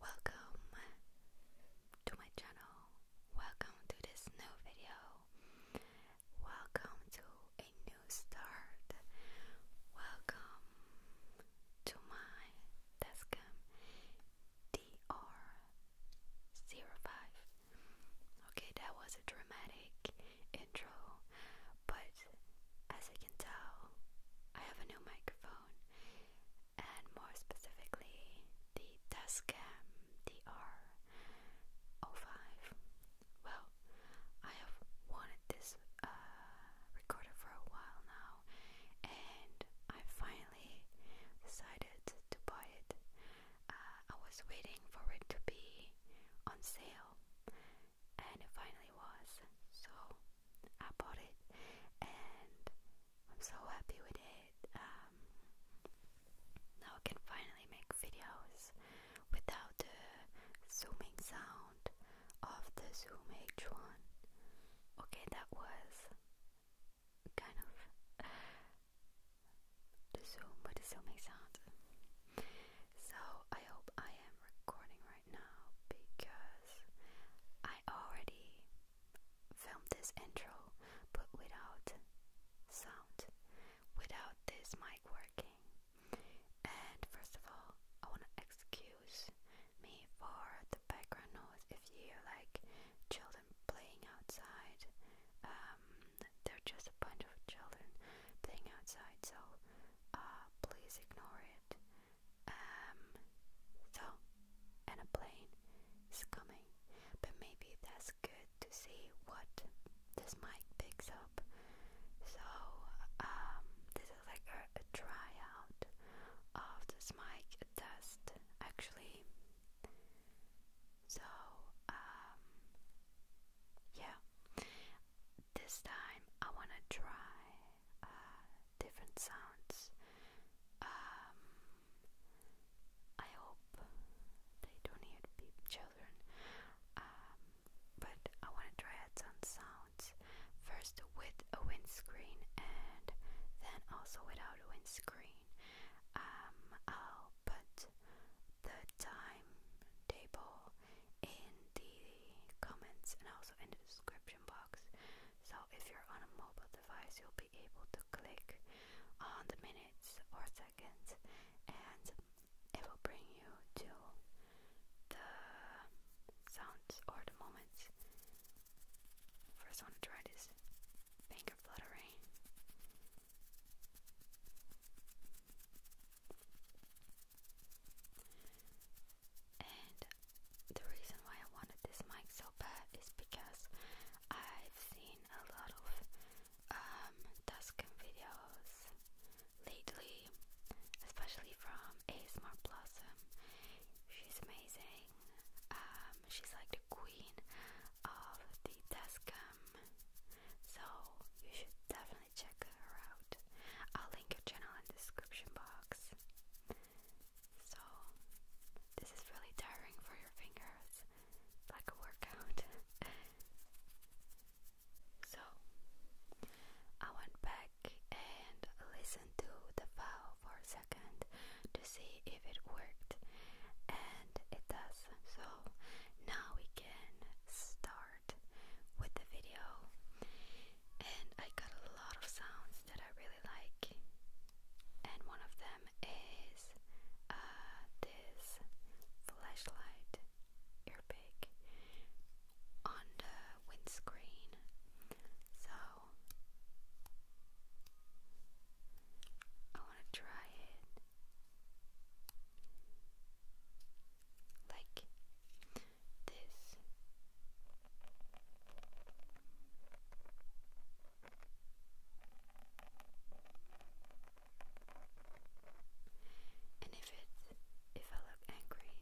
Welcome to my channel. Welcome to this new video. Welcome to a new start. Welcome to my Tascam dr zero five. Okay, that was a dramatic intro, but as I probably I have a new microphone, and more specifically, the Tascam DR05. Well, I have wanted this uh, recorder for a while now, and I finally decided to buy it. Uh, I was waiting for it to be on sale, and it finally was. So I bought it and I'm so happy with it. Um, now I can finally make videos without the zooming sound of the Zoom H1. Okay, that was kind of the Zoom with the zooming sound. So I hope I am recording right now because I already filmed this intro but without sound, without this mic working. And first of all, I want to excuse me for the background noise if you hear like children playing outside. Um, they're just a bunch of children playing outside, so uh, please ignore it. Um, so, and a plane is coming, but maybe that's good to see what this mic picks up. So, um, this is like a, tryout of this mic test, actually. So, um, yeah, this time I wanna try uh, different sounds. Um, I hope they don't hear children, um, but I want to try out some sounds first with a windscreen and then also without a windscreen. Um, I'll put the timetable in the the comments and also in the description box. So if you're on a mobile device, you'll be able to click on the minutes or seconds, and it will bring you to the sounds or the moments. First, I want to try this finger fluttering. And the reason why I wanted this mic so bad is because I've seen a lot of um, videos lately, especially from ASMR She's amazing. Um, she's like the queen of the Tuscan. So you should definitely check her out. I'll link her channel in the description box. So, this is really tiring for your fingers, like a workout. so, I went back and listened to the file for a second to see if it worked, and it does. So, now we can start with the video, and I got a lot of sounds that I really like, and one of them is uh, this flashlight earpick on the windscreen. So I want to try it. Like this. And if it if I look angry,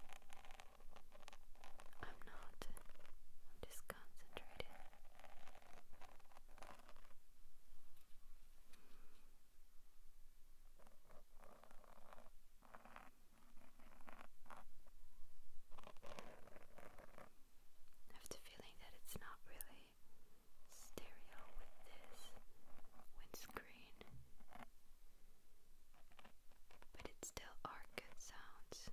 I'm not. I'm just concentrated. I have the feeling that it's not really stereo with this windscreen, but it still are sounds.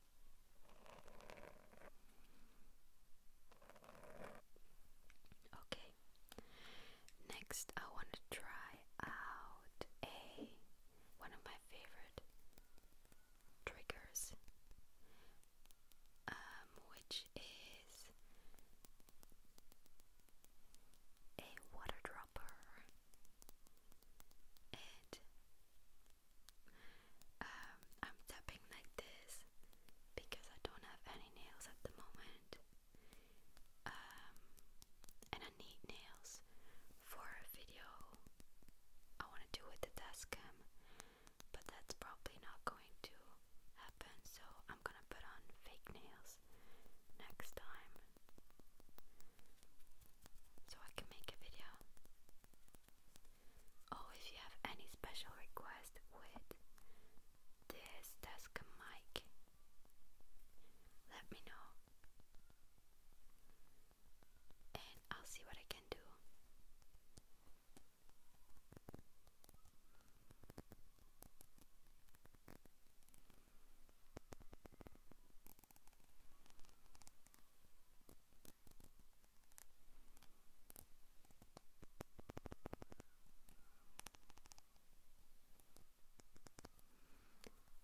Okay, next I want to try out a one of my favorite triggers, um, which is a water dropper and um, I'm tapping like this because I don't have any nails at the moment. Um, and I need nails for a video I want to do with the dashcam, but that's probably not going to happen. So I'm gonna put on fake nails next time, so I can make a video or oh, if you have any special requests with this desk mic, let me know and I'll see what I can do.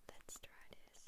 Let's try this.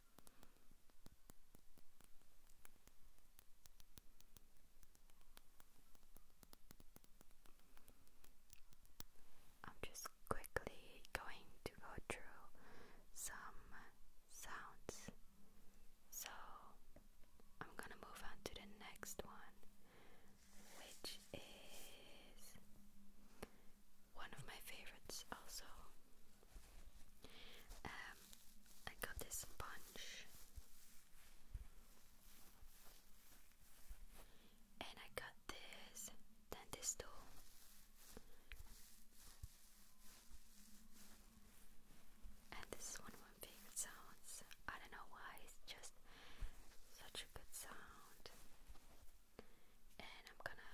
I'm just quickly going to go through some sounds. So I'm gonna move on to the next one, which is one of my favorites, also. Um, I got this sponge and I got this dentist tool. And this one one big sounds. I don't know why it's just such a good sound. And I'm gonna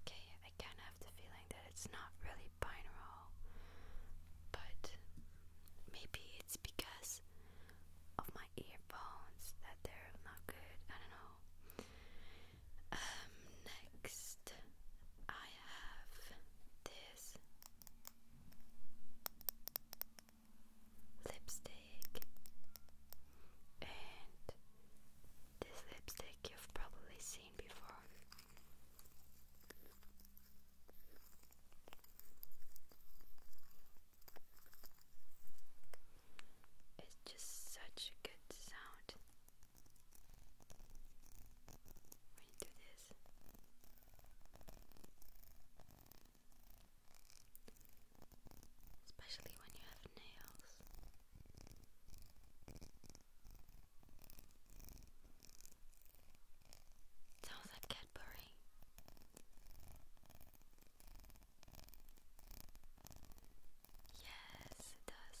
Okay, I kind of have the feeling that it's not really binaural, but maybe it's because of my earphones that they're not good. I don't know. Um, next, I have this lipstick, and this lipstick you've probably seen before. It's just such a good sound. When you do this, especially when you have nails. sounds like Cadbury. Yes, it does.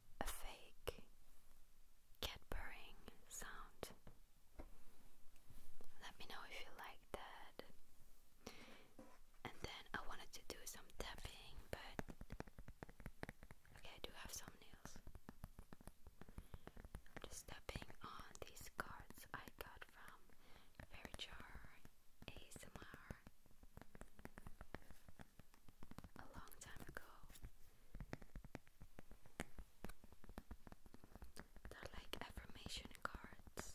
a fake cat purring sound. Let me know if you like that. And then I wanted to do some tapping, but okay, I do have some nails. I'm just tapping on these cards I got from Fairy Jar ASMR a long time ago. They're like affirmation cards.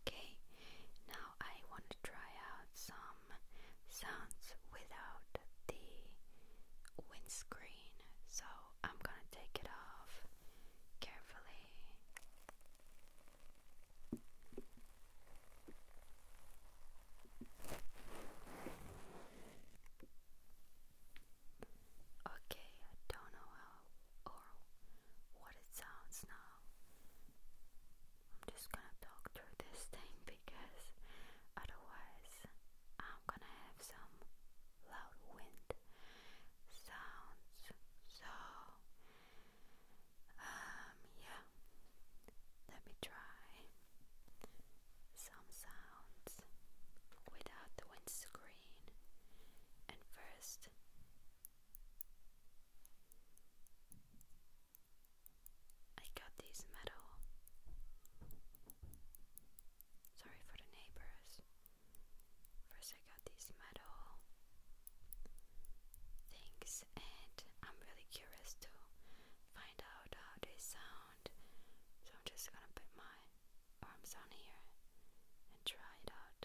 Okay, now I want to try out some sounds without the windscreen, so I'm gonna take it off carefully. Okay, I don't know how or what it sounds now. I'm just gonna talk through this thing because otherwise I'm gonna have some loud wind sounds. So, um, yeah, let me try some sounds without the windscreen. And first, I got this medal. Sorry for the neighbors. First, I got this medal. Things, and I'm really curious to find out how they sound. So I'm just gonna put my arms on here and try it out.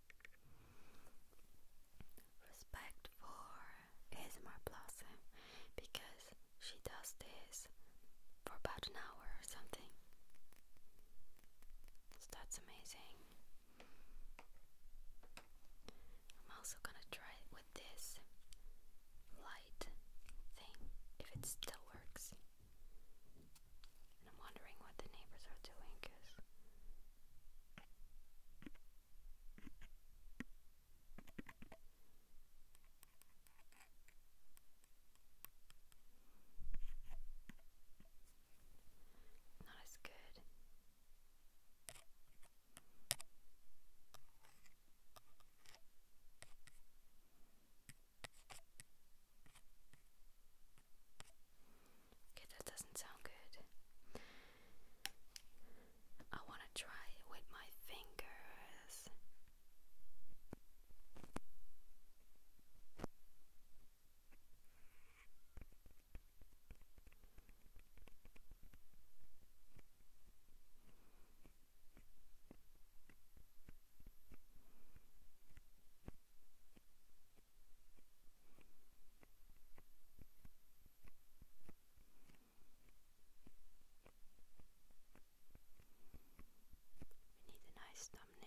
Respect for ASMR Blossom because she does this for about an hour or something. So that's amazing. I'm also gonna try it with this light thing if it still works. And I'm wondering what the neighbors are doing because not as good. Okay, that doesn't sound good. I want to try it with my fingers. We need a nice thumbnail.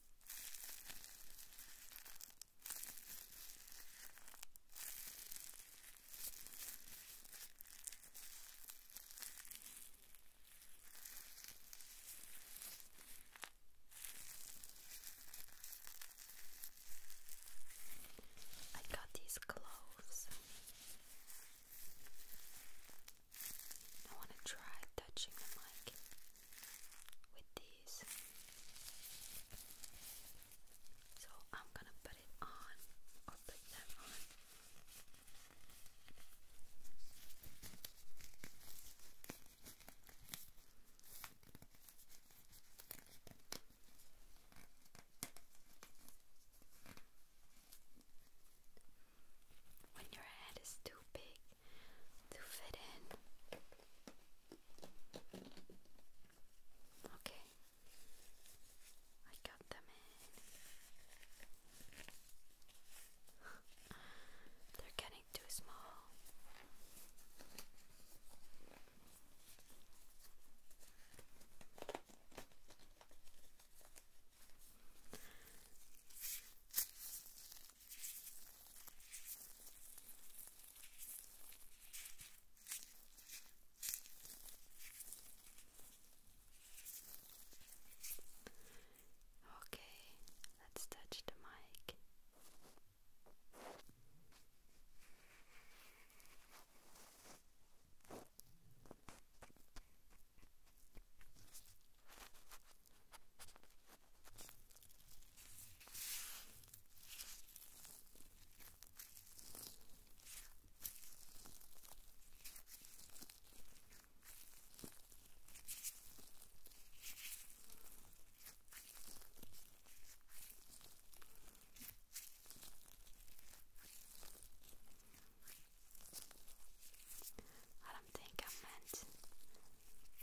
I got these gloves. I want to try touching the mic with these. So I'm gonna put it on or put them on. When your head is too big, to fit in. Okay, I got them in. They're getting too small. Okay, let's touch the mic. I don't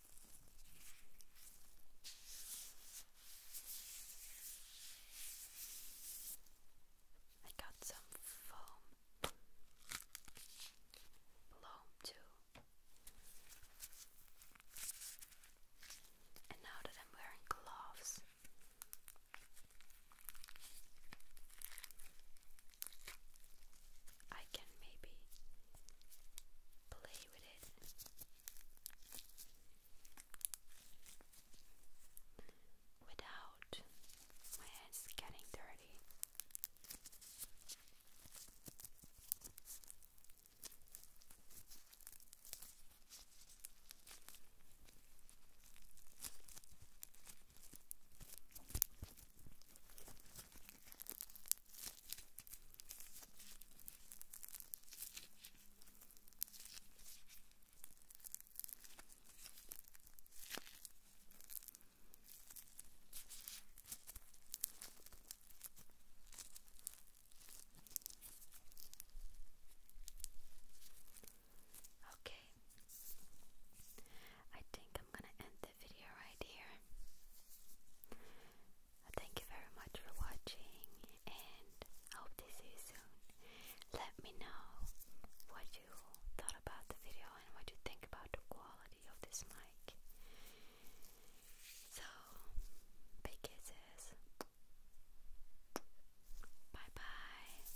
I got some foam bloom too. And now that I'm wearing gloves, I can maybe play with it without my hands getting dirty. Okay, I think I'm gonna end the video right here. Thank you very much for watching and I hope to see you soon. Let me know what you thought about the video and what you think about the quality of this mic. So, big kisses. Bye bye.